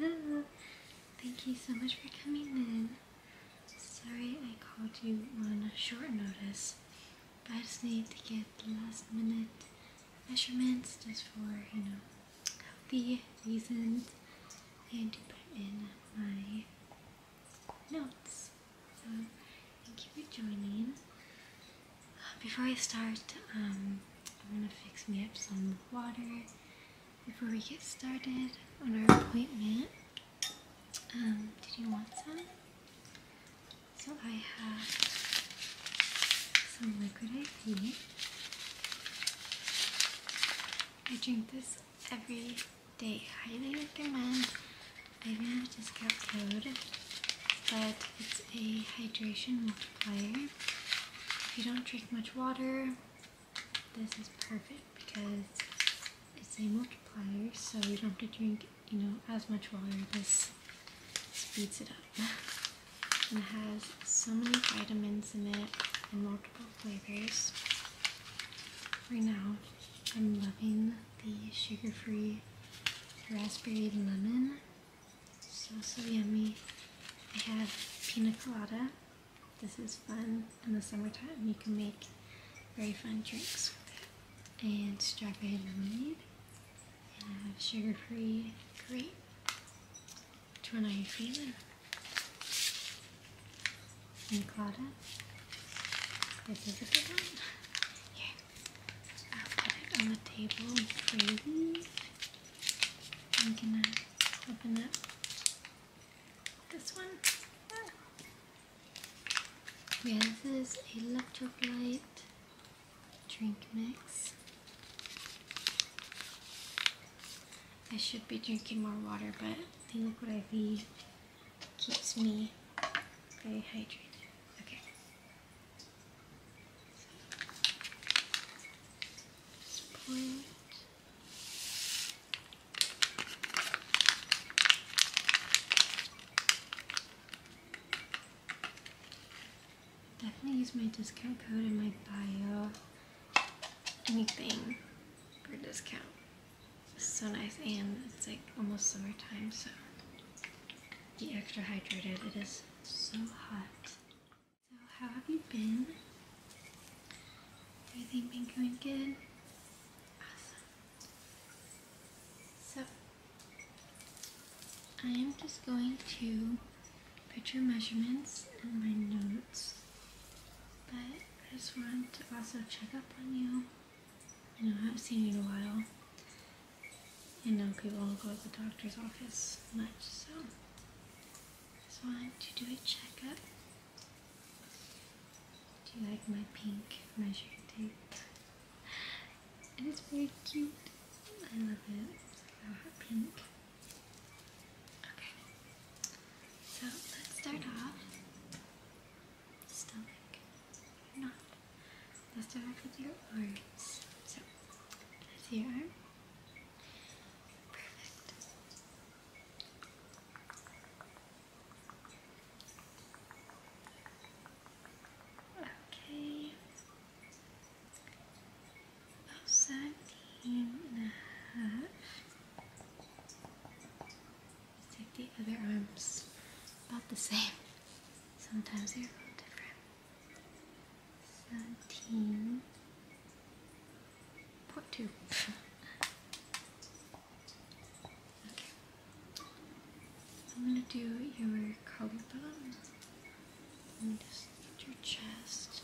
Hello. Thank you so much for coming in. Sorry I called you on short notice, but I just need to get the last minute measurements just for, you know, healthy reasons and to put in my notes. So, thank you for joining. Uh, before I start, I'm um, gonna fix me up some water before we get started on our appointment. Um, did you want some? So I have some liquid IV. I drink this every day. Highly recommend. I even have a discount code, but it's a hydration multiplier. If you don't drink much water, this is perfect because it's a multiplier, so you don't have to drink, you know, as much water. This speeds it up. and it has so many vitamins in it and multiple flavors. Right now, I'm loving the sugar-free raspberry lemon. So, so yummy. I have pina colada this is fun in the summertime. You can make very fun drinks with it. And strawberry lemonade. And I have sugar-free grape. Which one are you feeling? And Claudia. This is a good one. Here. I'll put it on the table for you. I'm gonna open up this one. Yeah, this is electrolyte drink mix. I should be drinking more water, but I think I feed keeps me very hydrated. point. Definitely use my discount code in my bio. Anything for a discount. It's so nice and it's like almost summertime so be extra hydrated. It is so hot. So how have you been? Everything been going good? Awesome. So I am just going to put your measurements in my notes, but I just want to also check up on you. I know I haven't seen you in a while. I know people go to the doctor's office much, so I just want to do a checkup. Do you like my pink measuring tape? It is very cute. I love it. I love our pink. Okay. So let's start off. Stomach. Or not. Let's start off with your arms. So, with your arm. Perfect. Okay. About oh, seventeen take the other arms. About the same. Sometimes they're a little different thirteen point two. okay. I'm gonna do your collarbone and just your chest.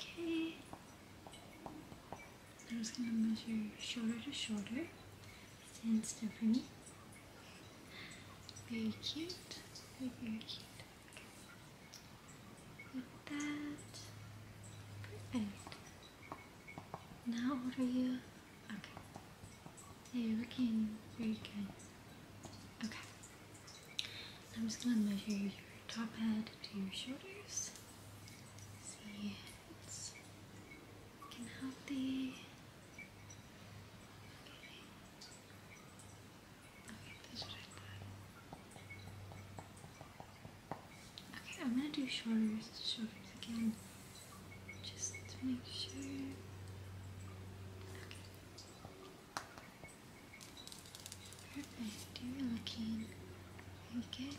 Okay. I'm just gonna measure shoulder to shoulder. Stand still for me. Very cute. Very, very cute. Okay. Like that. Now, And how old are you? Okay. Yeah, you very good. Okay. I'm just gonna measure your top head to your shoulders. See, can help the okay. I'm gonna do shoulders, shoulders again. Just to make sure. Perfect. You're looking good.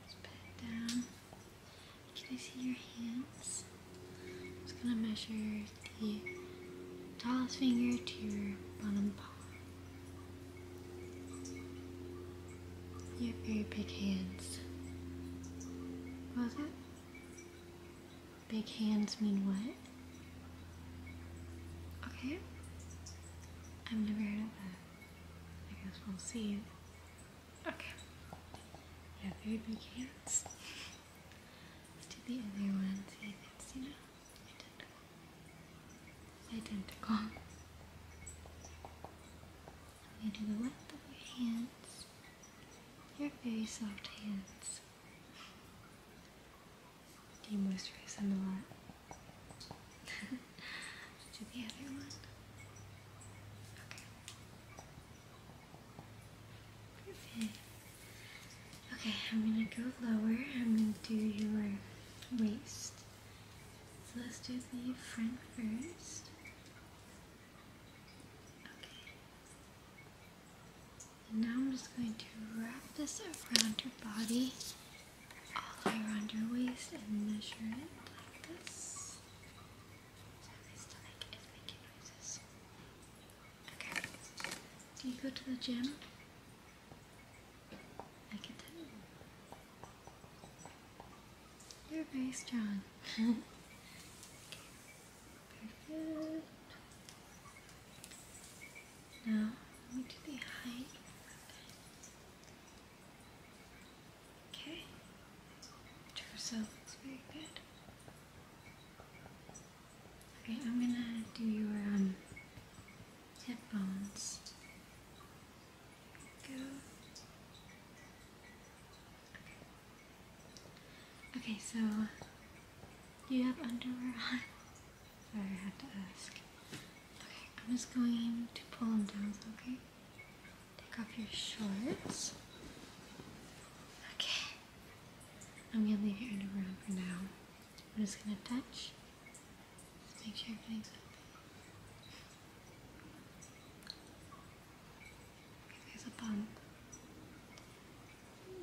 Let's down. Can I see your hands? I'm just gonna measure the tallest finger to your bottom paw. You have very big hands. What was it? Big hands mean what? Okay. I've never heard of that. I guess we'll see. Okay. Now very big hands. Let's do the other one. See, that's, you know, identical. Identical. I'm going to do the length of your hands. Your very soft hands. Do you moisturize them a lot? to the other one. Okay. Perfect. Okay, I'm gonna go lower. I'm gonna do your waist. So let's do the front first. Okay. And now I'm just going to wrap this around your body, all around your waist, and measure it like this. Do you go to the gym? I can tell. You're very strong. Perfect. Now, let me do the height. Okay. Two sounds very good. Okay, I'm gonna do your um Go. Okay. so you have underwear on? I have to ask. Okay, I'm just going to pull them down, okay? Take off your shorts. Okay. I'm gonna leave your in a room for now. I'm just gonna touch. Just make sure everything's okay. There's a bump.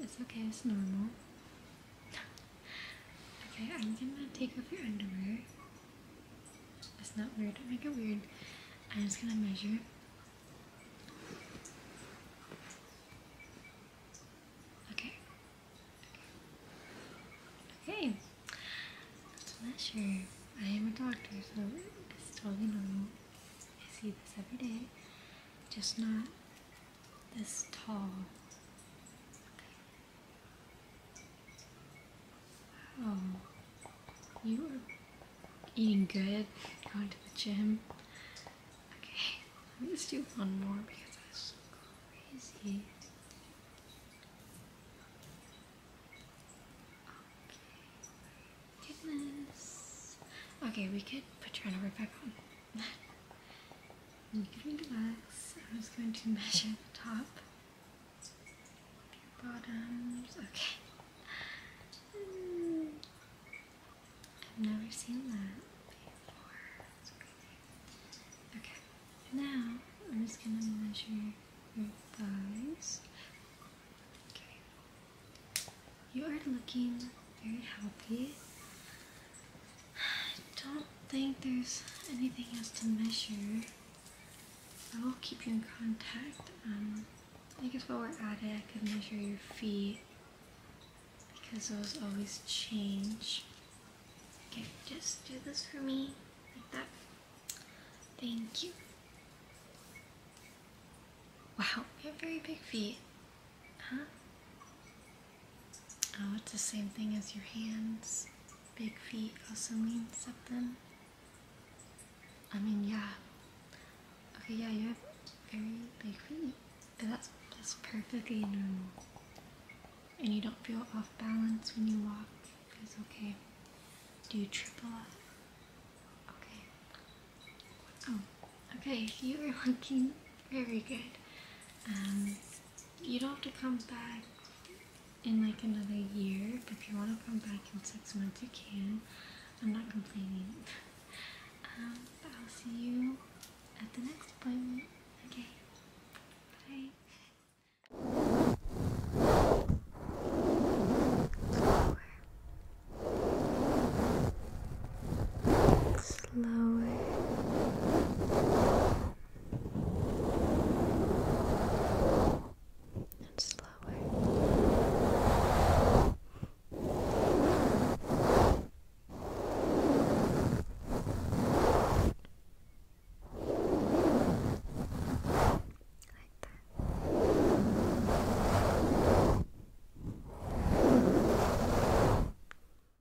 It's okay, it's normal. okay, I'm gonna take off your underwear. It's not weird. Don't make it weird. I'm just gonna measure. Okay. Okay. Let's measure. I am a doctor, so it's totally normal. I see this every day. Just not this tall. Oh, you are eating good, going to the gym. Okay, let me just do one more because that's crazy. Okay, goodness. Okay, we could put your arm right back on. you can relax. I'm just going to measure the top bottoms. Okay. Hmm. I've never seen that before. Okay. Now I'm just gonna measure your thighs. Okay. You are looking very healthy. I don't think there's anything else to measure. I will keep you in contact. Um, I guess while we're at it, I could measure your feet because those always change. Okay, just do this for me, like that. Thank you. Wow, you have very big feet. Huh? Oh, it's the same thing as your hands. Big feet also means something. I mean, yeah. Okay, yeah, you have very big feet. That's that's perfectly normal. And you don't feel off balance when you walk. It's okay. Do you trip a lot? Okay. Oh, okay. You are looking very good. Um, you don't have to come back in like another year. If you want to come back in six months, you can. I'm not complaining. Um, but I'll see you at the next appointment. Okay. Bye. Slower and slower. Like that.